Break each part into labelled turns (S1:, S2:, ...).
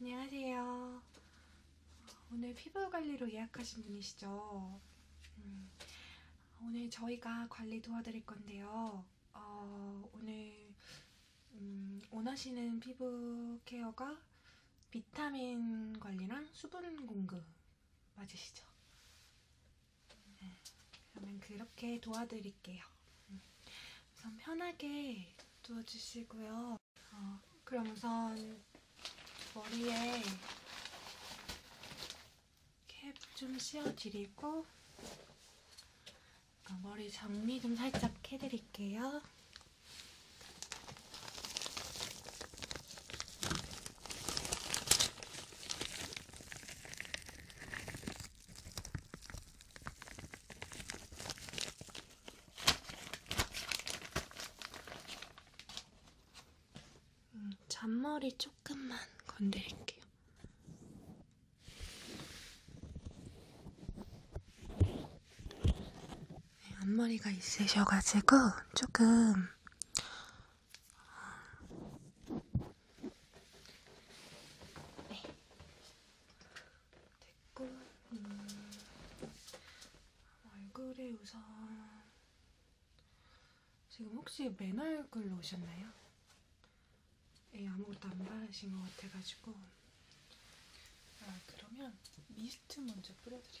S1: 안녕하세요. 오늘 피부관리로 예약하신 분이시죠? 음, 오늘 저희가 관리 도와드릴 건데요. 어, 오늘 음, 원하시는 피부 케어가 비타민 관리랑 수분 공급 맞으시죠? 네, 그러면 그렇게 도와드릴게요. 음, 우선 편하게 누워주시고요. 어, 그럼 우선 머리에 캡 좀 씌워드리고 어, 머리 정리 좀 살짝 해드릴게요. 음, 잔머리 조금만 건드릴게요. 네, 앞머리가 있으셔가지고 조금 어, 네. 됐고 음, 얼굴에 우선 지금 혹시 맨 얼굴로 오셨나요? 에 예, 아무것도 안 바르신 것 같아가지고 아 그러면 미스트 먼저 뿌려드릴게요.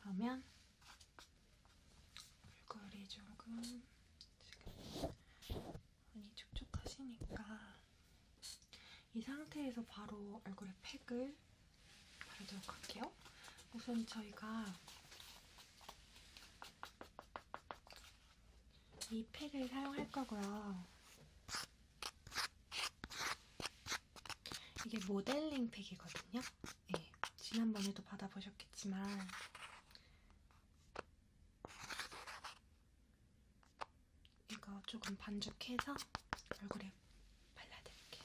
S1: 그러면 얼굴이 조금 지금 많이 촉촉하시니까 이 상태에서 바로 얼굴에 팩을 바르도록 할게요. 우선 저희가 이 팩을 사용할 거고요. 이게 모델링 팩이거든요. 네, 지난번에도 받아보셨겠지만 이거 조금 반죽해서 얼굴에 발라드릴게요.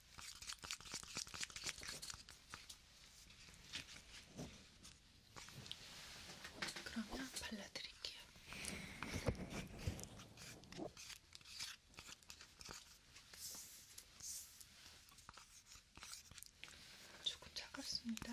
S1: 그러면 발라드릴게요. 조금 차갑습니다.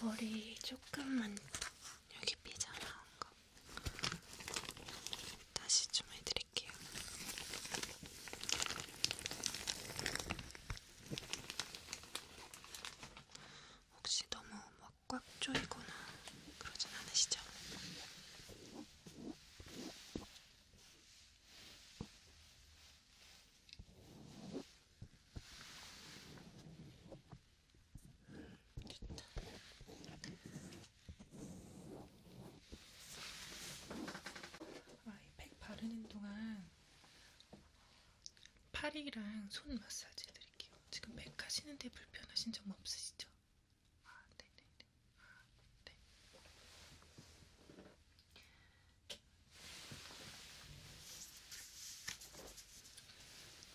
S1: 머리 조금만 여기 삐져나온 거 다시 좀 해드릴게요. 혹시 너무 막꽉 조이거나 그러진 않으시죠? 음, 좋다. 와이팩 바르는 동안 팔이랑 손 마사지 해드릴게요. 지금 맥 하시는데 불편하신 점 없으시죠? 아, 네네네. 아, 네, 네. 네.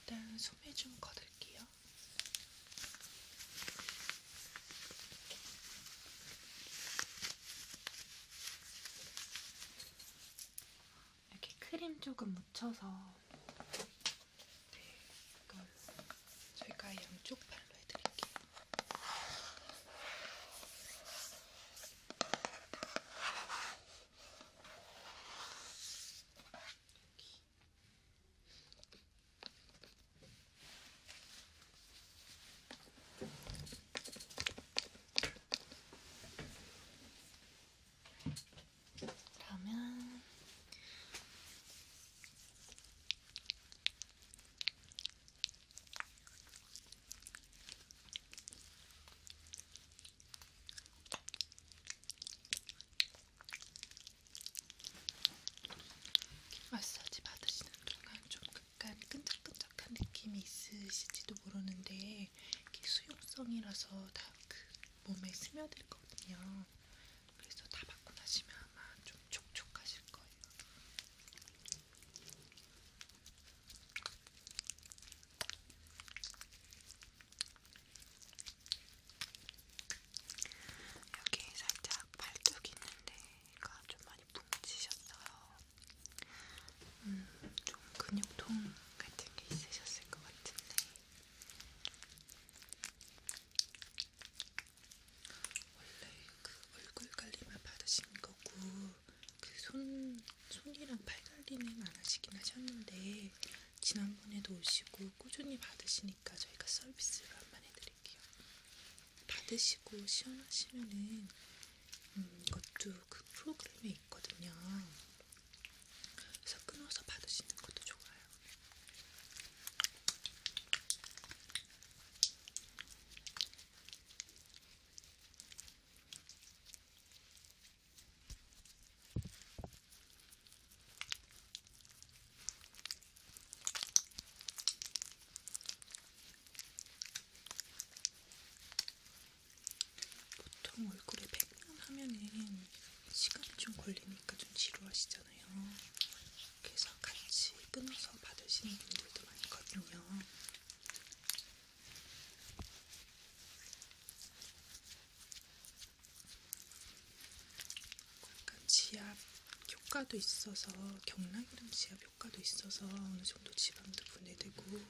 S1: 일단 소매 좀 거둘게요. 이렇게 크림 조금 묻혀서 네, 이건 저희가 양쪽 팔로 해드릴게요. 여기. 그러면 마사지 받으시는 동안 좀 약간 끈적끈적한 느낌이 있으실지도 모르는데 이게 수용성이라서 다 그 몸에 스며들거든요. 그래서 다 받고 나시면 아마 좀 촉촉하실 거예요. 여기 살짝 발톱 있는데, 가좀 많이 뭉치셨어요. 음, 좀 근육통 같은 게 있으셨을 것 같은데 원래 그 얼굴 관리만 받으신 거고 그 손, 손이랑 팔 관리는 안 하시긴 하셨는데 지난번에도 오시고 꾸준히 받으시니까 저희가 서비스를 한번 해드릴게요. 받으시고 시원하시면은 음, 이것도 그 프로그램에 있거든요. 그래서 끊어서 받으시는 것도 좋아요. 보통 얼굴에 팩만 하면은 시간이 좀 걸리니까 좀 지루하시잖아요. 그래서 같이 끊어서 받으시는 분들도 많거든요. 약간 지압 효과도 있어서 경락이랑 지압 효과도 있어서 어느 정도 지방도 분해되고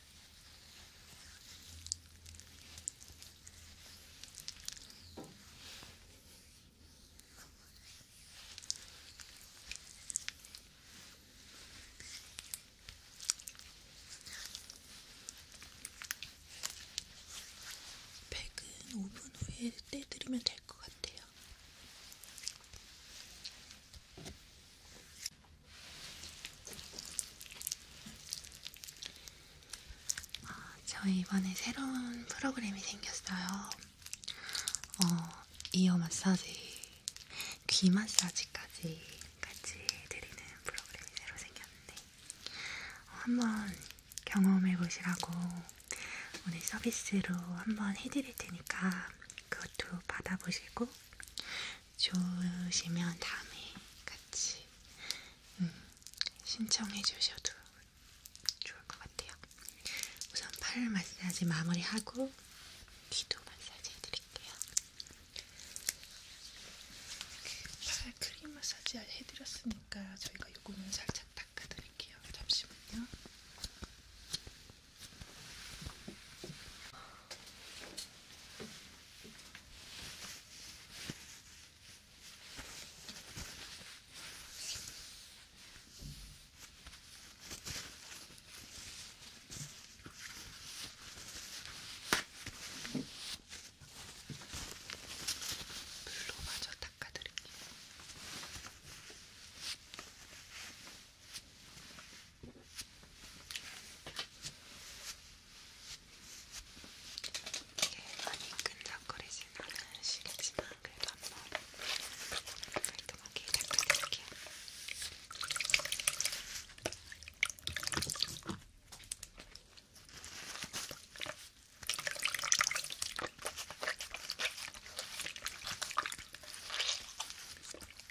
S1: 백은 5분 후에 떼드리면 될 것 같아요. 아, 저희 이번에 새로운 프로그램이 생겼어요. 어, 이어 마사지, 귀 마사지까지 같이 해드리는 프로그램이 새로 생겼는데 어, 한번 경험해 보시라고 오늘 서비스로 한번 해드릴 테니까 그것도 받아보시고 좋으시면 다음에 같이 음, 신청해 주셔도 좋을 것 같아요. 우선 팔 마사지 마무리하고 귀도 마사지 해드릴게요. 팔 크림 마사지 해드렸으니까 저희가 요거는 살짝 닦아드릴게요. 잠시만요. 물로 마저 닦아드릴게요. 이게 많이 끈적거리진 않으시겠지만 그래도 한번 깔끔하게 닦아드릴게요. 이렇게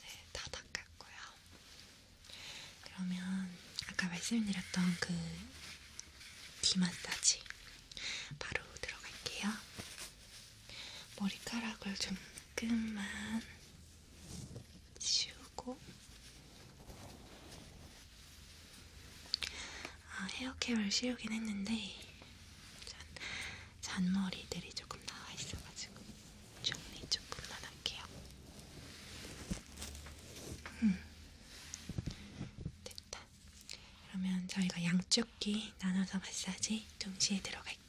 S1: 네, 다 닦았고요. 그러면 아까 말씀드렸던 그 디마사지 바로 들어갈게요. 머리카락을 조금만 지우고 아, 헤어캡을 씌우긴 했는데 잔머리들이 조금 나와 있어가지고 정리 조금만 할게요. 음. 됐다. 그러면 저희가 양쪽 귀 나눠서 마사지 동시에 들어갈게요.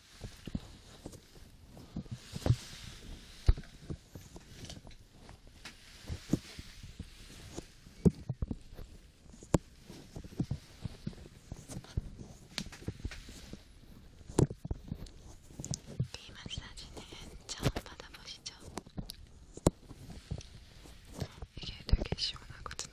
S1: 귀 마사지는 처음 받아보시죠? 이게 되게 시원하거든요.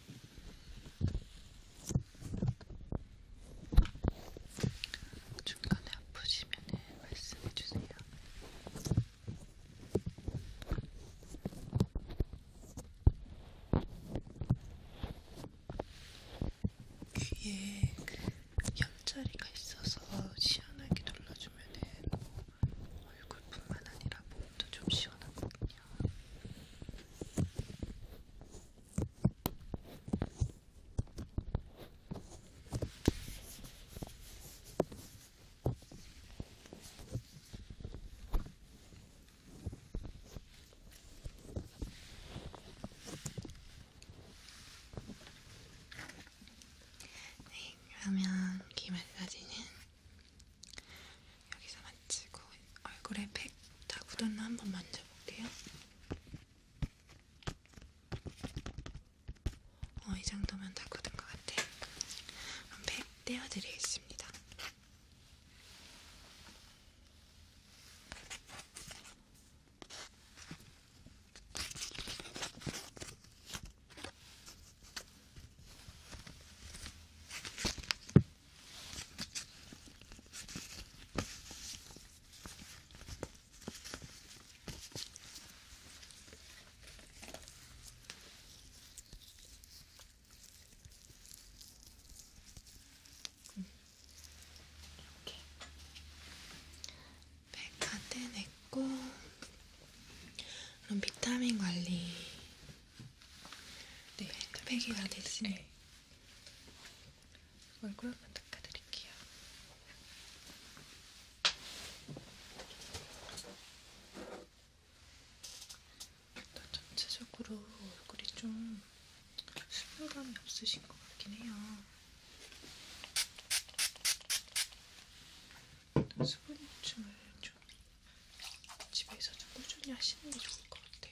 S1: 중간에 아프시면은 말씀해주세요. 귀에 그 옆자리가 있어서 시원하게 눌러주면은 얼굴뿐만 아니라 몸도 좀 시원하거든요. 네, 그러면 귀 마사지는 여기서만 치고 얼굴에 팩다 묻었나 한번 만져볼게요. 어, 이 정도면 다 굳은 것 같아. 그럼 팩 떼어드리겠습니다. 이렇게 백다 떼냈고 그럼 비타민 관리 네, 팩이 다 됐으니 네. 얼굴만 닦아드릴게요. 일단 전체적으로 얼굴이 좀 수분감이 없으신 것 같긴 해요. 수분 보충을 좀 집에서 좀 꾸준히 하시는 게 좋을 것 같아요.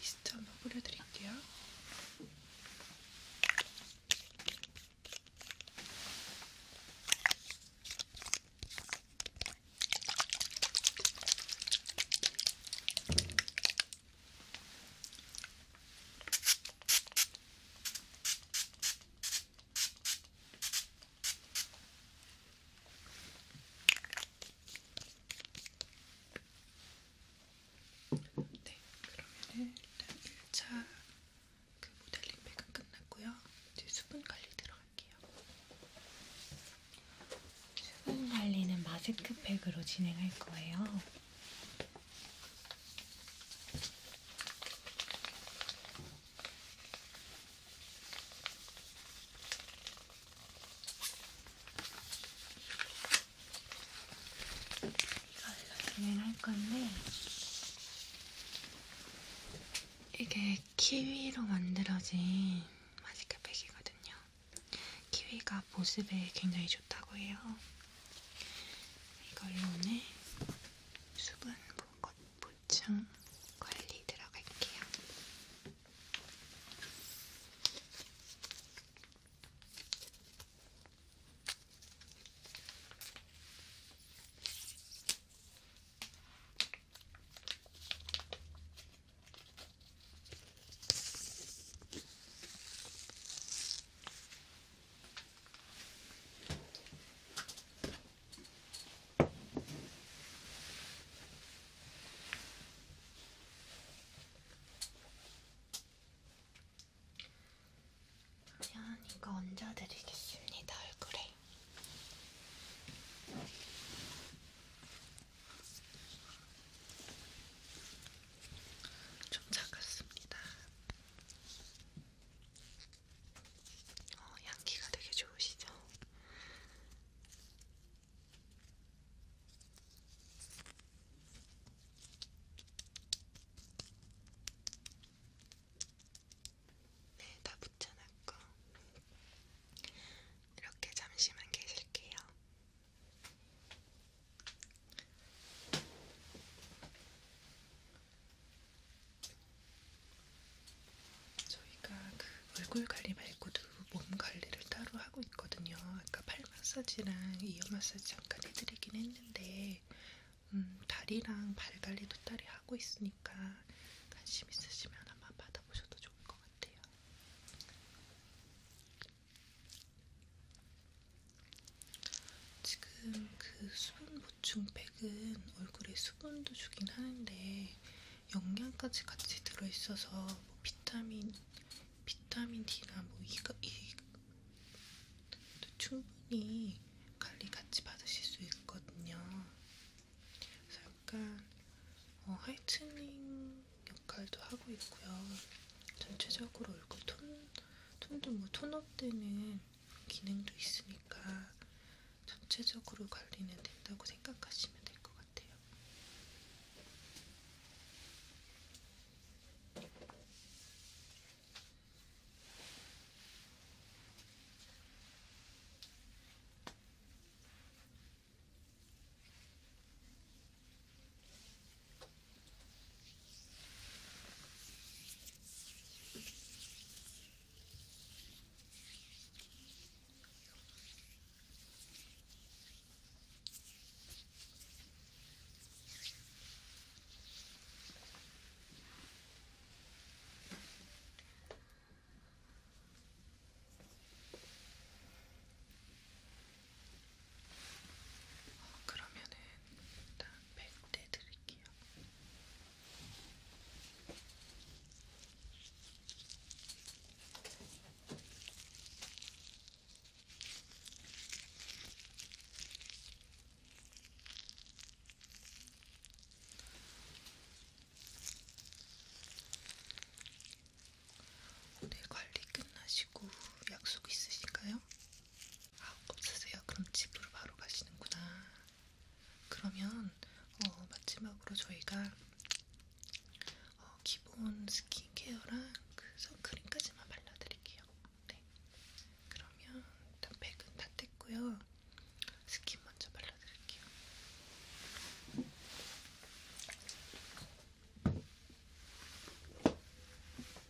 S1: 리스트 한번 뿌려드릴게요. 네, 그러면 일단 1차 그 모델링팩은 끝났고요. 이제 수분 관리 들어갈게요. 수분 관리는 마스크팩으로 진행할 거예요. 이걸 할 건데 이게 키위로 만들어진 마스크팩이거든요. 키위가 보습에 굉장히 좋다고 해요. 이걸로 오늘 수분 볼 건데 보충 관리 들어갈게요. 그러면 이거 얹어드리겠습니다, 얼굴에. 좀 작았습니다. 어, 향기가 되게 좋으시죠? 네, 다 붙여놨고 이렇게 잠시만 계실게요. 저희가 그 얼굴 관리 말고도 몸 관리를 따로 하고 있거든요. 아까 팔 마사지랑 이어 마사지 잠깐 해드리긴 했는데 음, 다리랑 발 관리도 딸이 하고 있으니까 관심 있으시면 한번 받아보셔도 좋을 것 같아요. 지금 그 수분 보충팩은 얼굴에 수분도 주긴 하는데 영양까지 같이 들어있어서 뭐 비타민, 비타민 D나 뭐 이가 이도 충분히 관리 같이 받으실 수 있거든요. 그래서 약간 어, 하이트닝 역할도 하고 있고요. 전체적으로 얼굴 톤, 톤도 뭐 톤업 때는 기능도 있으니까 전체적으로 관리는 된다고 생각하시면 될 것 같아요. 아, 그러면은 일단 100대 드릴게요. 오늘 관리 끝나시고 약속 있으신가요? 아, 없으세요? 그럼 집으로 바로 가시는구나. 그러면 어, 마지막으로 저희가 어, 기본 스킨케어랑 그 선크림까지만 발라드릴게요. 네. 그러면 일단 백은 다 뗐고요. 스킨 먼저 발라드릴게요.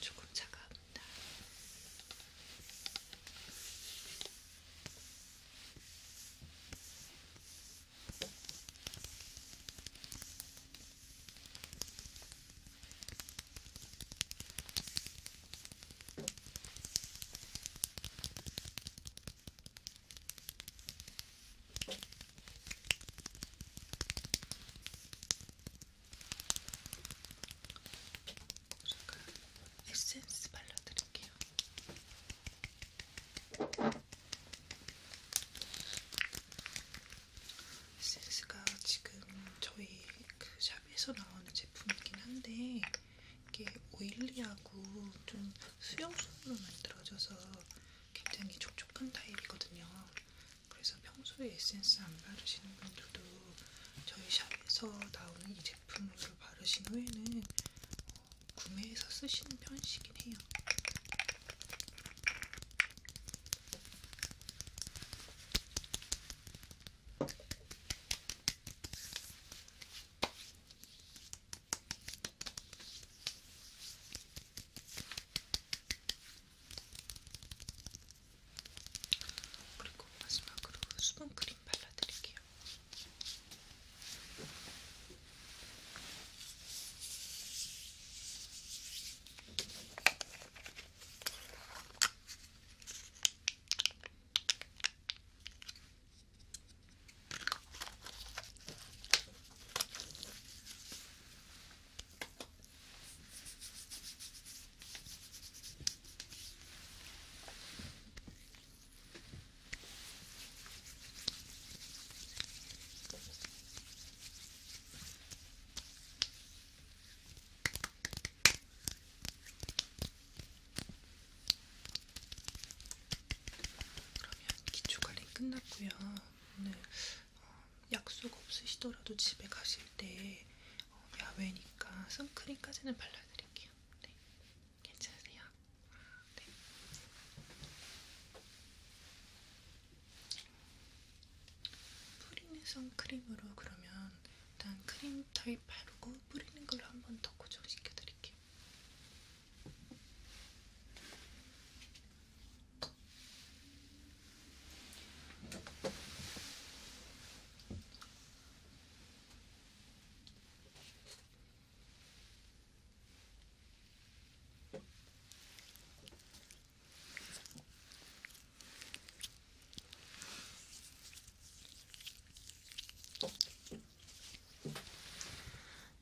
S1: 조금 차갑다. 그 에센스 발라드릴게요. 센스가 지금 저희 그 샵에서 나오는 제품이긴 한데 이게 오일리하고 좀 수용성으로 만들어져서 굉장히 촉촉한 타입이거든요. 그래서 평소에 에센스 안 바르시는 분들도 저희 샵에서 나오는 이 제품으로 바르신 후에는 구매해서 쓰시는 편이시긴 해요. 그리고 마지막으로 수분크림. 핑 발라드릴게요. 그러면 기초 관리 끝났고요. 오늘 어, 약속 없으시더라도 집에 가실 때 어, 야외니까 선크림까지는 발라드릴게요. 네. 괜찮으세요? 네. 뿌리는 선크림으로 그러면 일단 크림 타입 바르고 뿌리는 걸로 한 번 더 고정시켜 드릴게요.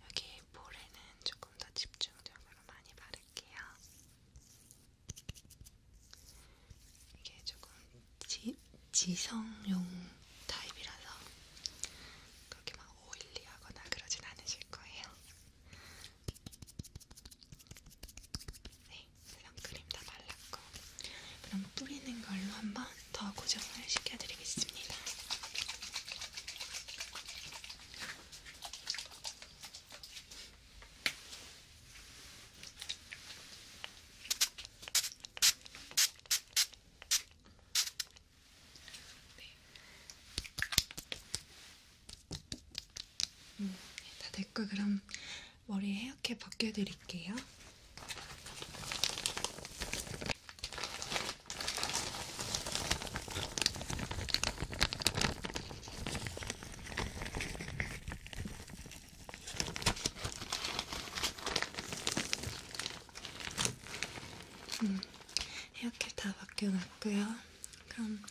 S1: 여기 볼에는 조금 더 집중적으로 많이 바를게요. 이게 조금 지, 지성용 타입이라서 그렇게 막 오일리하거나 그러진 않으실 거예요. 네, 선크림 다 발랐고 그럼 뿌리는 걸로 한번 더 고정을 시켜드리겠습니다. 네. 음, 네, 다 됐고 그럼 머리 헤어캡 벗겨드릴게요. 음, 헤어캡 다 바뀌어놨고요. 그럼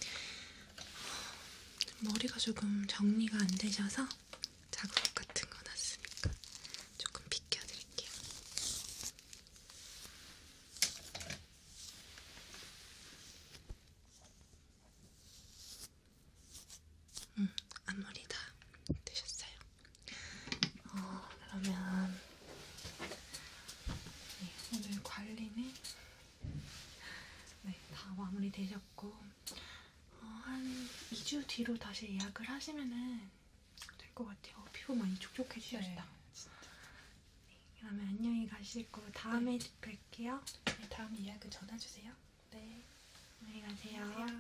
S1: 머리가 조금 정리가 안 되셔서 자국 같은 거 났으니까 조금 비껴드릴게요. 음, 앞머리 다 되셨어요. 어, 그러면 네, 오늘 관리는 네, 다 마무리 되셨고 어, 한 2주 뒤로 다시 예약을 하시면은 될것 같아요. 어, 피부 많이 촉촉해지셨다. 네, 진짜. 네, 그러면 안녕히 가시고 다음에 네. 뵐게요. 네, 다음 예약은 전화 주세요. 네, 안녕히 가세요. 안녕하세요.